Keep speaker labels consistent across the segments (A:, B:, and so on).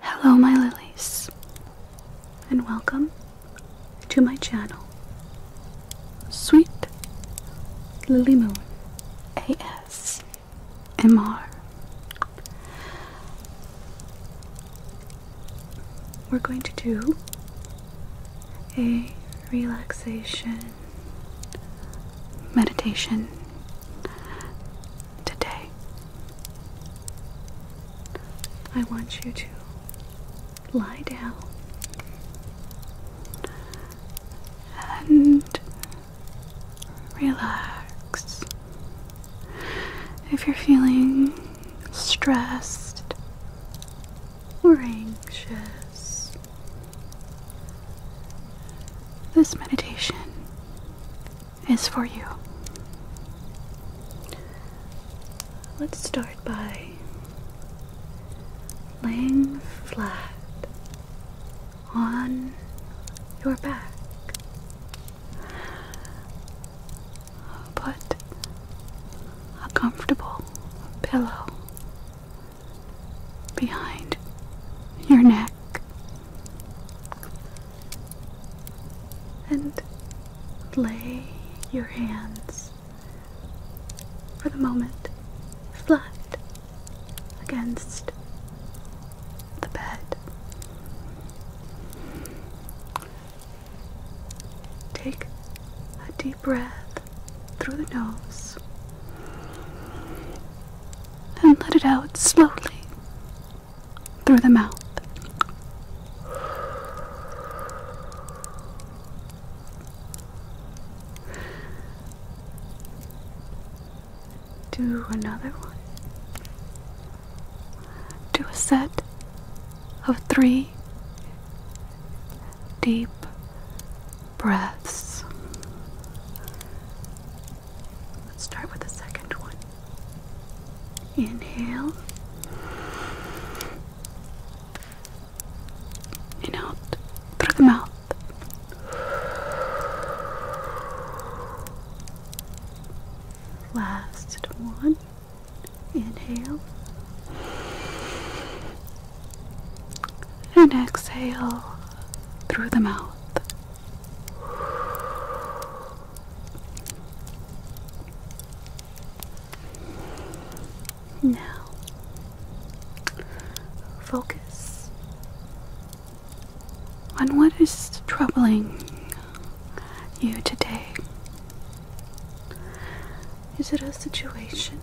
A: Hello, my lilies, and welcome to my channel, Sweet Lily Moon ASMR. We're going to do a relaxation meditation today. I want you to lie down and relax. If you're feeling stressed or anxious this meditation is for you. Let's start by laying flat on your back. Put a comfortable pillow behind your neck. And lay your hands for the moment flat against the bed. Take a deep deep breath through the nose and let it out slowly through the mouth. Do another one. Do a set of three deep breaths. Let's start with the second one. Inhale and out through the mouth. Last one. Inhale and exhale through the mouth. Now, focus on what is troubling you today. Is it a situation?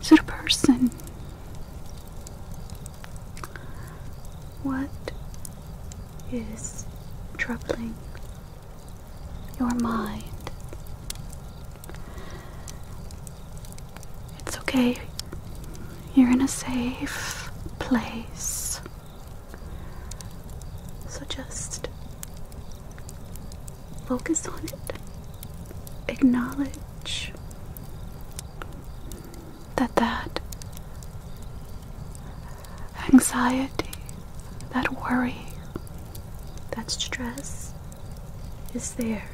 A: Is it a person? What is troubling your mind? It's okay. You're in a safe place. So just focus on it. Acknowledge that that anxiety, that worry, that stress is there.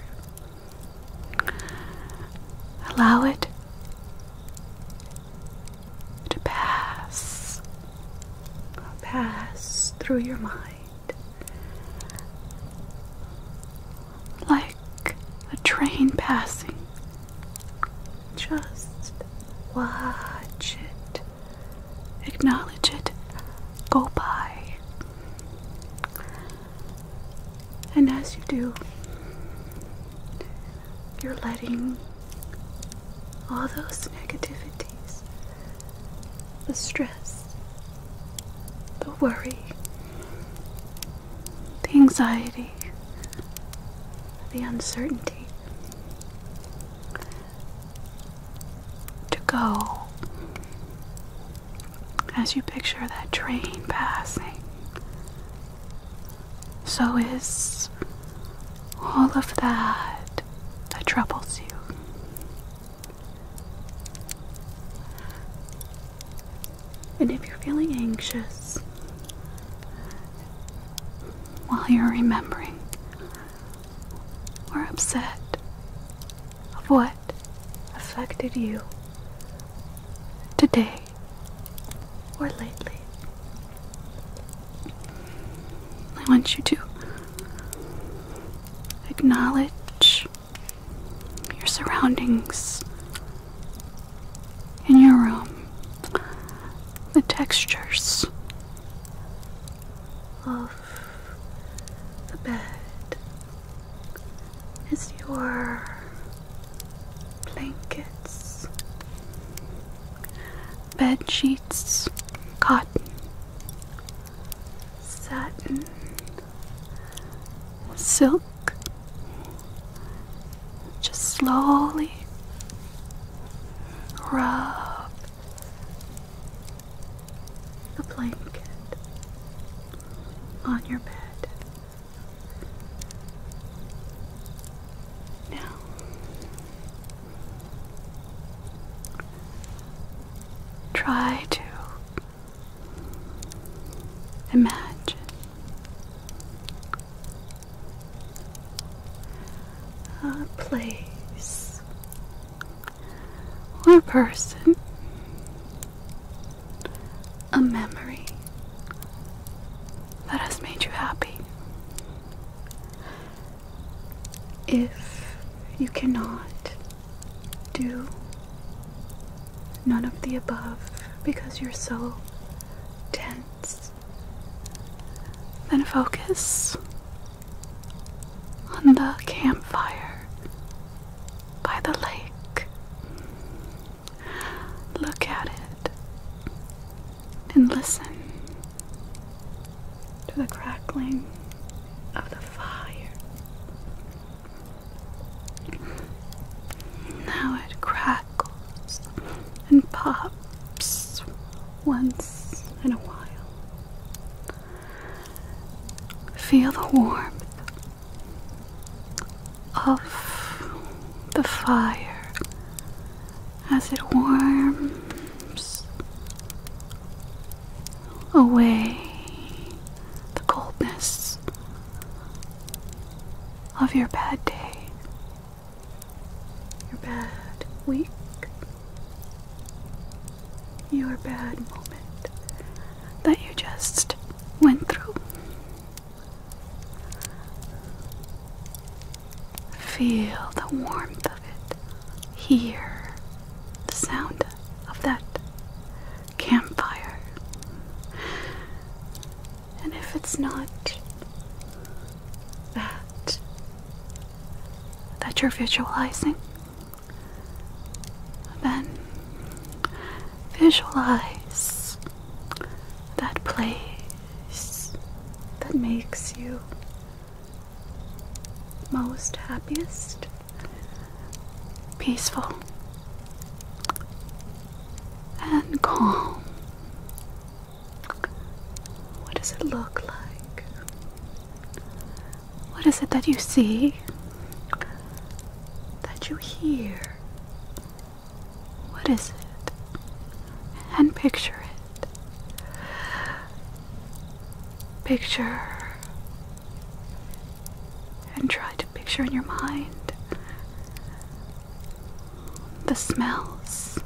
A: Allow it to pass, pass through your mind like a train passing. Just watch it, acknowledge it, go by. And as you do, you're letting all those negativities, the stress, the worry, the anxiety, the uncertainty to go as you picture that train passing. So is all of that that troubles you. And if you're feeling anxious while you're remembering or upset of what affected you today or lately, I want you to acknowledge your surroundings in your room, the textures of the bed is your blankets bed sheets, cotton, satin, silk. Just slowly rub the blanket on your bed. Now, Try to imagine a place or a person, a memory that has made you happy. If you cannot do none of the above because you're so tense, then focus on the campfire by the lake. Look at it and listen to the crackling of the fire. Now it crackles and pops once in a while. Feel the warmth of the fire as it warms away the coldness of your bad day, your bad week, your bad moment that you just went through. Feel the warmth of it. Hear the sound of that campfire. And if it's not that that you're visualizing, then visualize that place that makes you most happiest, peaceful, and calm. What does it look like? What is it that you see? That you hear? What is it? And picture it. Picture and try to picture in your mind the smells,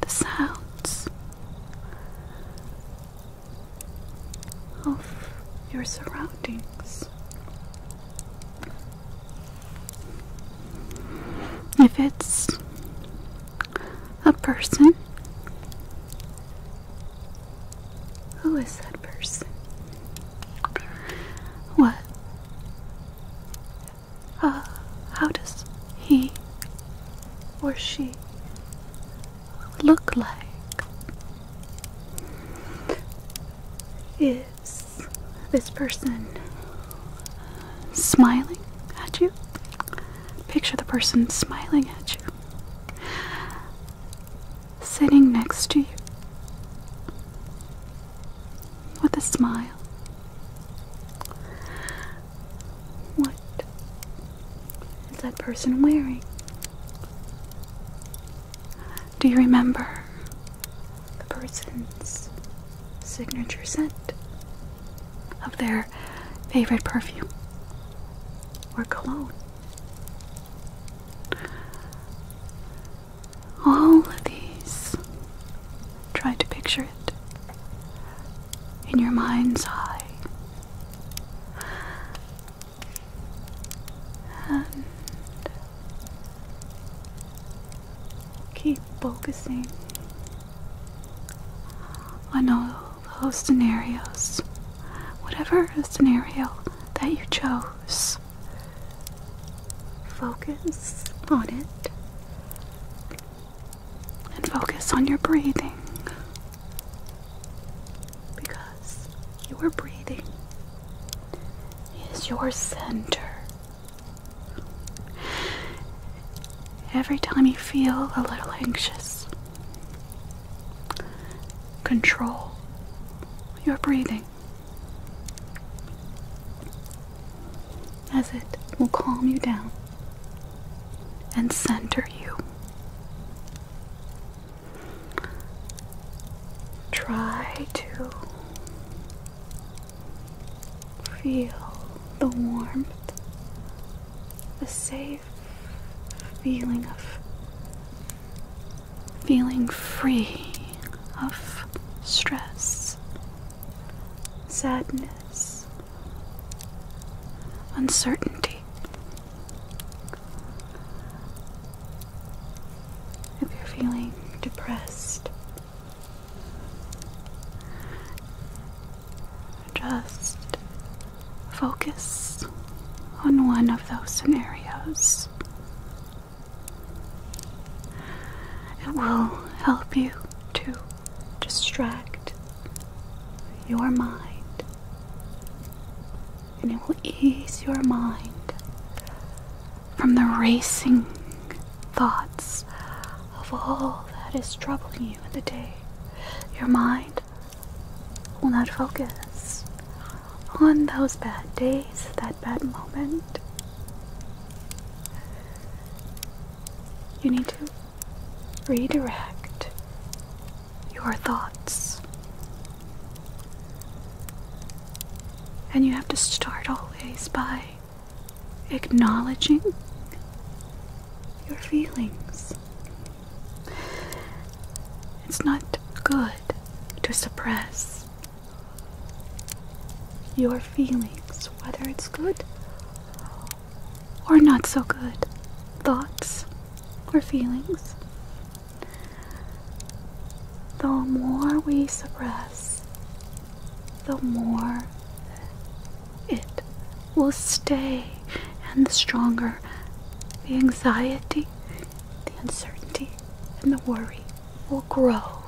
A: the sounds of your surroundings. If it's a person, who is that person? What? Uh, how does he or she look like? Is this person smiling at you. Picture the person smiling at you, sitting next to you with a smile. What is that person wearing? Do you remember the person's signature scent of their favorite perfume or cologne. All of these, try to picture it in your mind's eye. And Keep focusing on all those scenarios, whatever scenario that you chose. Focus on it and focus on your breathing because your breathing is your center Every time you feel a little anxious, control your breathing as it will calm you down and center you. Try to Feel the warmth, the safe feeling of feeling free of stress, sadness, uncertainty. If you're feeling depressed, just focus on one of those scenarios. It will help you to distract your mind, and it will ease your mind from the racing thoughts of all that is troubling you in the day. Your mind will not focus on those bad days, that bad moment. You need to redirect your thoughts. And you have to start always by acknowledging your feelings. It's not good to suppress your feelings, whether it's good or not so good thoughts or feelings. The more we suppress the more it will stay, and the stronger the anxiety, the uncertainty, and the worry will grow.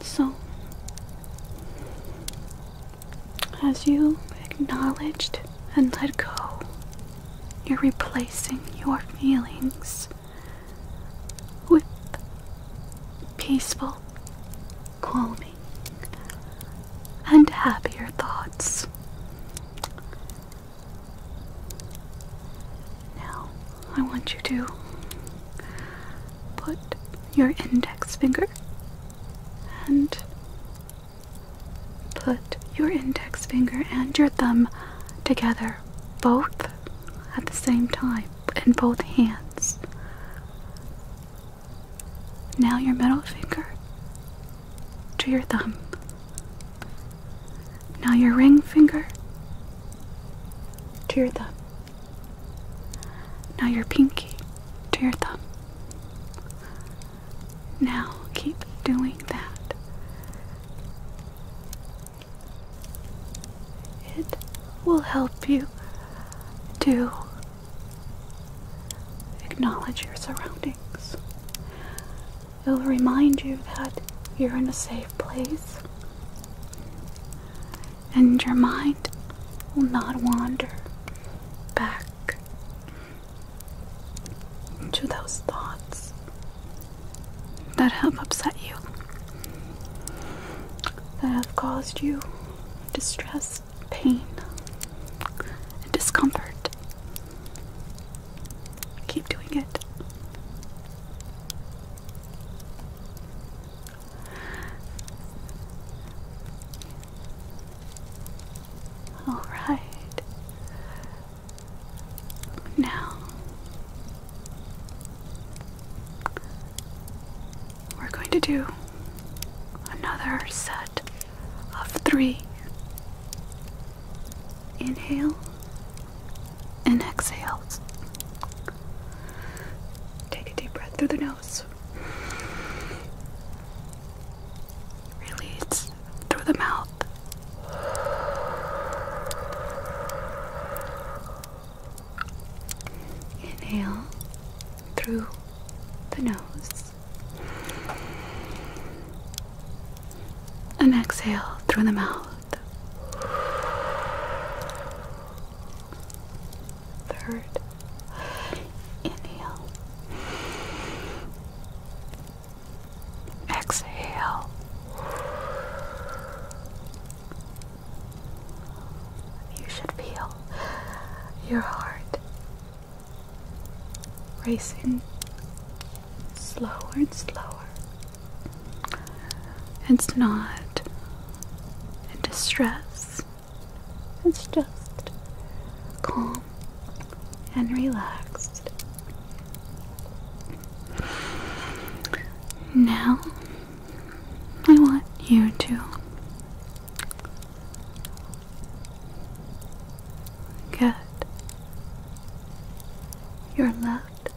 A: So, as you acknowledged and let go, you're replacing your feelings with peaceful, calming, and happier thoughts. Now, I want you to put your index finger and put your index finger and your thumb together both at the same time, in both hands. Now your middle finger to your thumb. Now your ring finger to your thumb. Now your pinky to your thumb. Now keep doing that it will help you to acknowledge your surroundings. It'll remind you that you're in a safe place and your mind will not wander back to those thoughts that have upset you, that have caused you distress, pain, and discomfort. Keep doing it. All right. Now we're going to do another set of three. Inhale and exhale. Take a deep breath through the nose. Release through the mouth. Inhale through the nose. And exhale through the mouth. Third inhale Exhale. You should feel your heart racing slower and slower. It's not in distress, it's just calm and relaxed. Now, I want you to get your left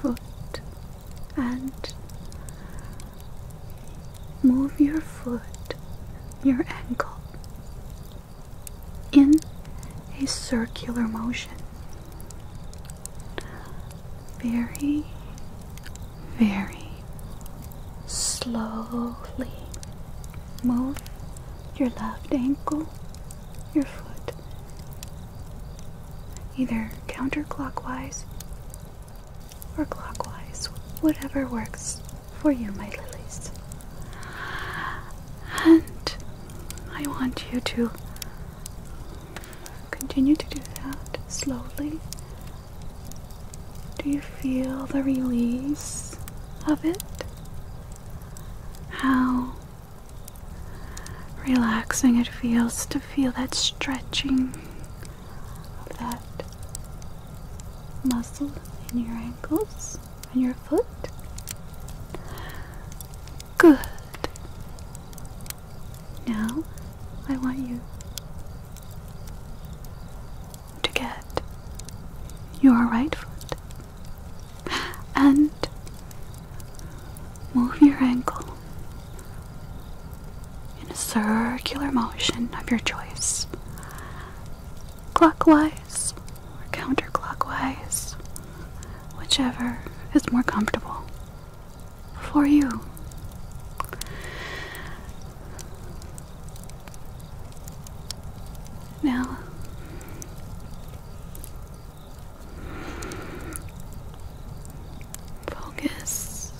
A: foot and move your foot, your ankle in a circular motion. Very, very slowly move your left ankle, your foot, either counterclockwise or clockwise, whatever works for you, my lilies. And I want you to continue to do that slowly. Do you feel the release of it? How relaxing it feels to feel that stretching of that muscle in your ankles and your foot. Good. Now I want you to get your right foot and move your ankle in a circular motion of your choice clockwise or counterclockwise, whichever is more comfortable for you. Now, focus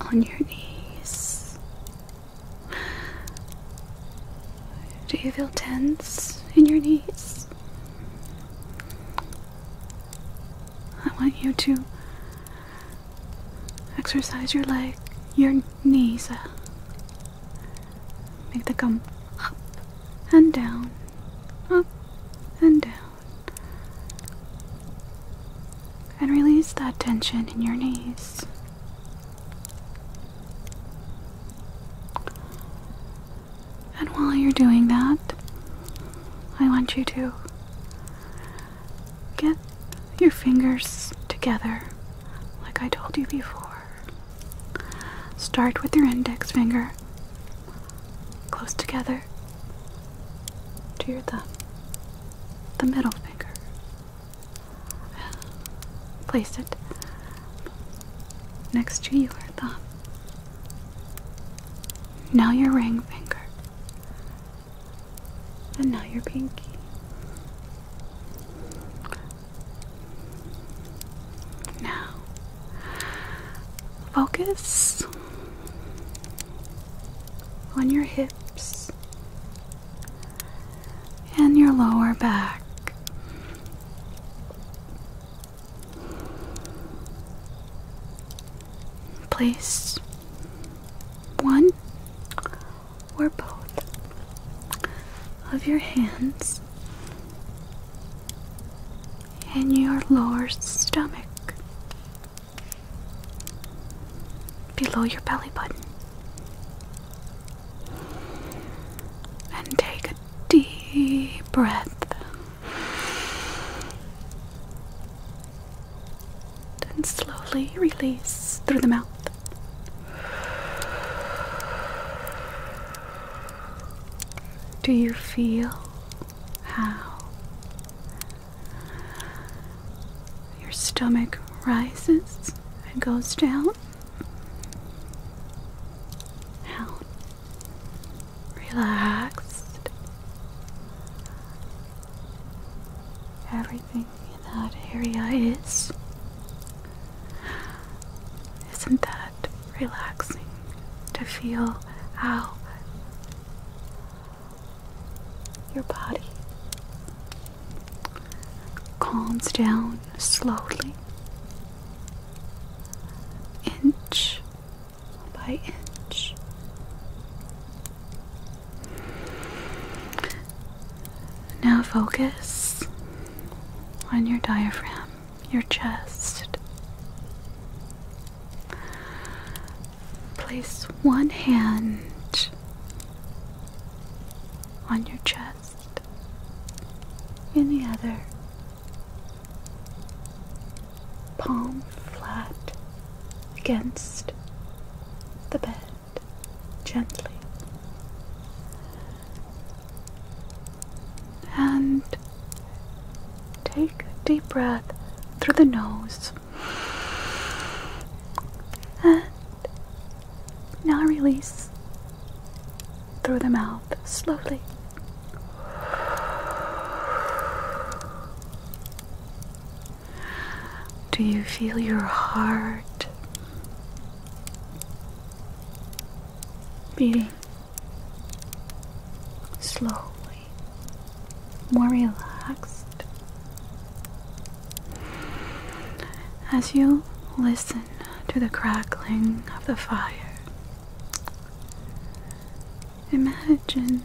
A: on your knees do you feel tense in your knees? I want you to exercise your leg, your knees. Uh, make them come up and down, up and down and release that tension in your knees. And while you're doing that, I want you to get your fingers together like I told you before. Start with your index finger close together to your thumb, the middle finger, placed it next to your thumb. Now your ring finger. And now your pinky. Now, focus on your hips and your lower back. Place one or both of your hands in your lower stomach below your belly button. And take a deep breath. Then slowly release through the mouth. Do you feel how your stomach rises and goes down. Out. Relaxed. Everything in that area is. Isn't that relaxing to feel out? Your body calms down slowly, inch by inch. Now focus on your diaphragm, your chest. Place one hand on your chest and the other palm flat against the bed gently. And take a deep breath through the nose and now release through the mouth slowly. Do you feel your heart beating slowly more relaxed. As you listen to the crackling of the fire, imagine,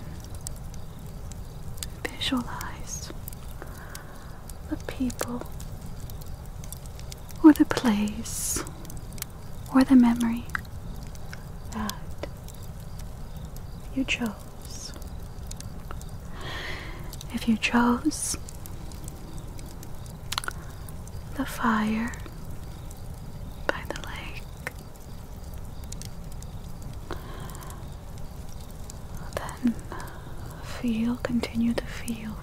A: visualize the people or the place or the memory that you chose. If you chose the fire by the lake, then feel, continue to feel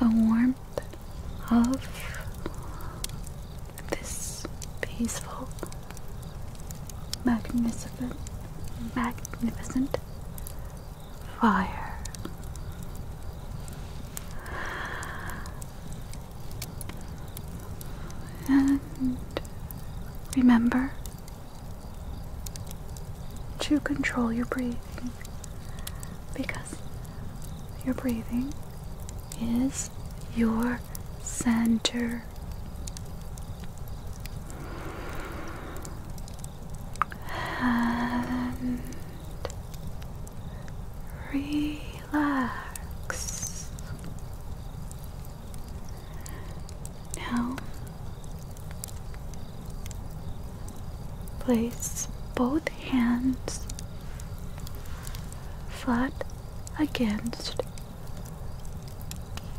A: the warmth of this peaceful, magnificent, magnificent fire. And remember to control your breathing because your breathing is your center. And relax. Now, place both hands flat against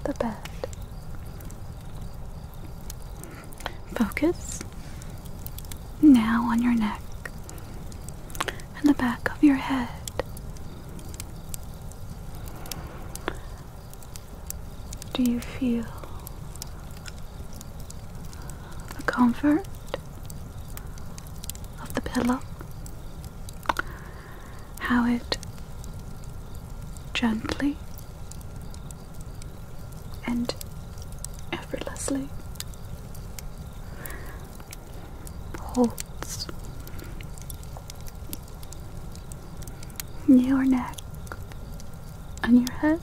A: the bed. Focus now on your neck and the back of your head. Do you feel the comfort of the pillow how it gently and effortlessly holds your neck and your head.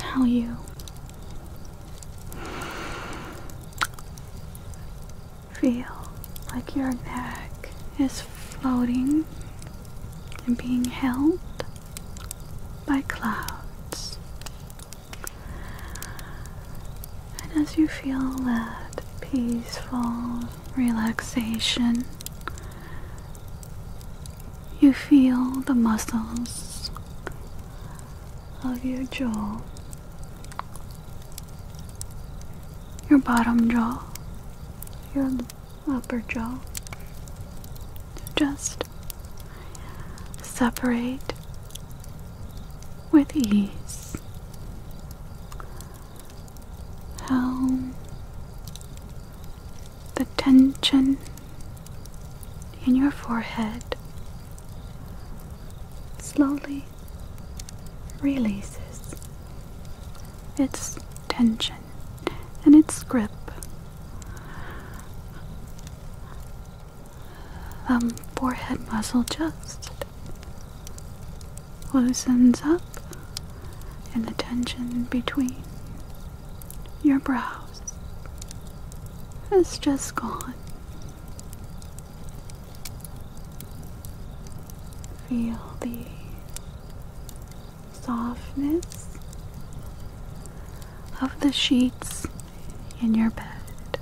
A: How you Feel like your neck is floating and being held by clouds. And as you feel that peaceful relaxation, you feel the muscles of your jaw, your bottom jaw, your upper jaw. Just separate with ease. How the tension in your forehead slowly releases its tension and its grip. The um, forehead muscle just loosens up and the tension between your brows has just gone. Feel the softness of the sheets in your bed.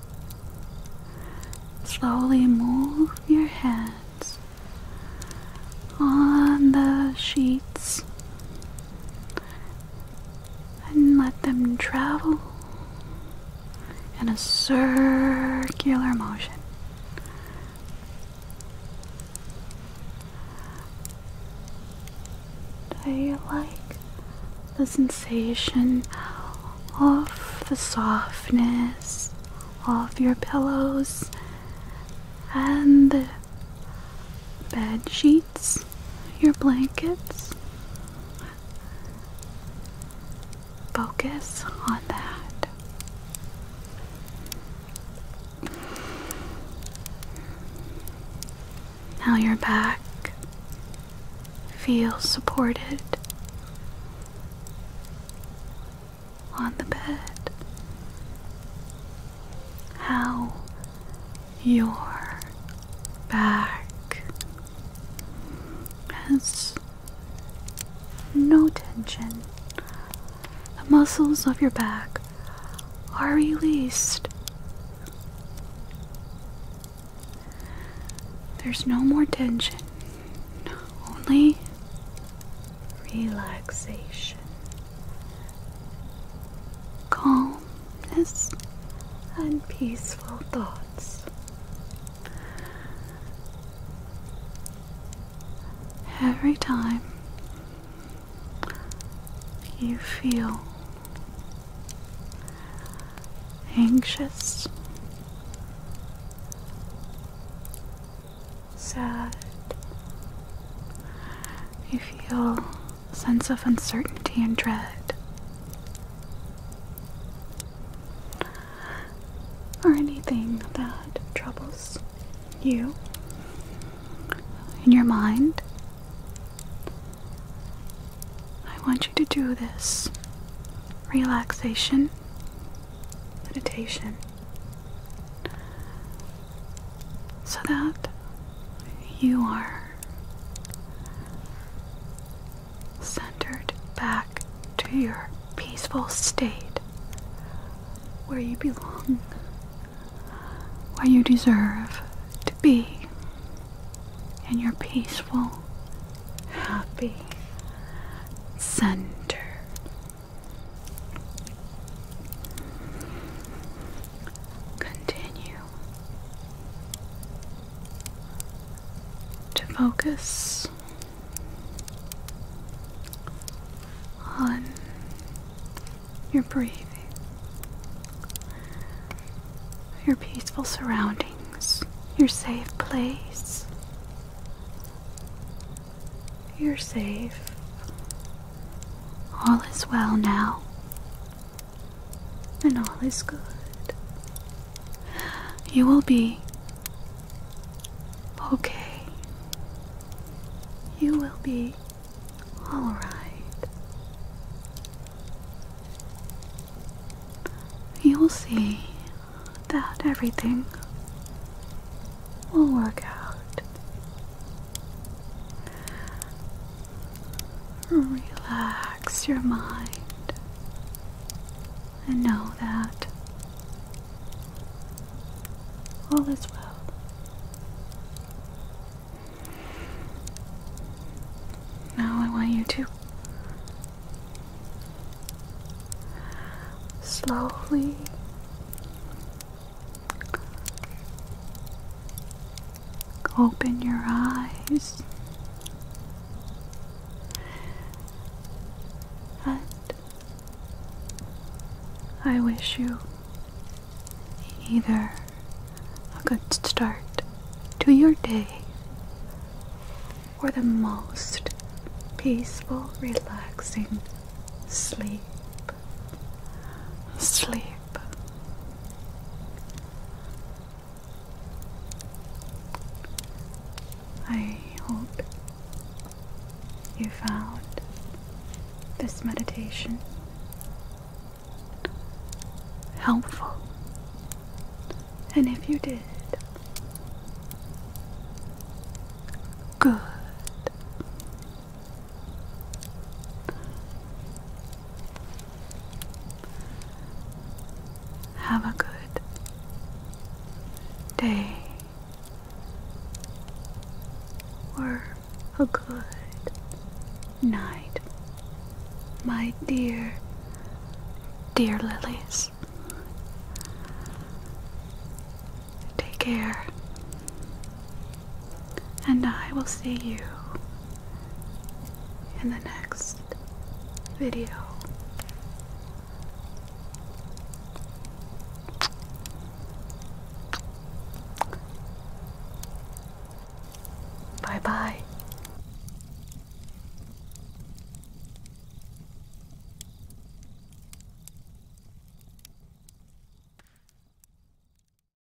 A: Slowly move your hands on the sheets and let them travel in a circular motion. I like the sensation of the softness of your pillows and the bed sheets your blankets. Focus on that. Now your back feels supported on the bed. How your back has no tension. The muscles of your back are released. There's no more tension, only relaxation. Calm and peaceful thoughts. Every time you feel anxious, sad, you feel sense of uncertainty and dread. Or anything that troubles you in your mind. I want you to do this relaxation meditation so that you are centered back to your peaceful state where you belong, where you deserve to be, in your peaceful, happy center. Continue to focus on your breathing, your peaceful surroundings, your safe place. You're safe. All is well now and all is good. You will be okay. You will be alright. You will see that everything will work out Relax your mind and know that all is well. Now I want you to slowly Open your eyes and I wish you either a good start to your day or the most peaceful, relaxing sleep. Sleep. I hope you found this meditation helpful. And if you did, good. Have a good day or a good night, my dear, dear lilies. Take care. And I will see you in the next video. Bye bye.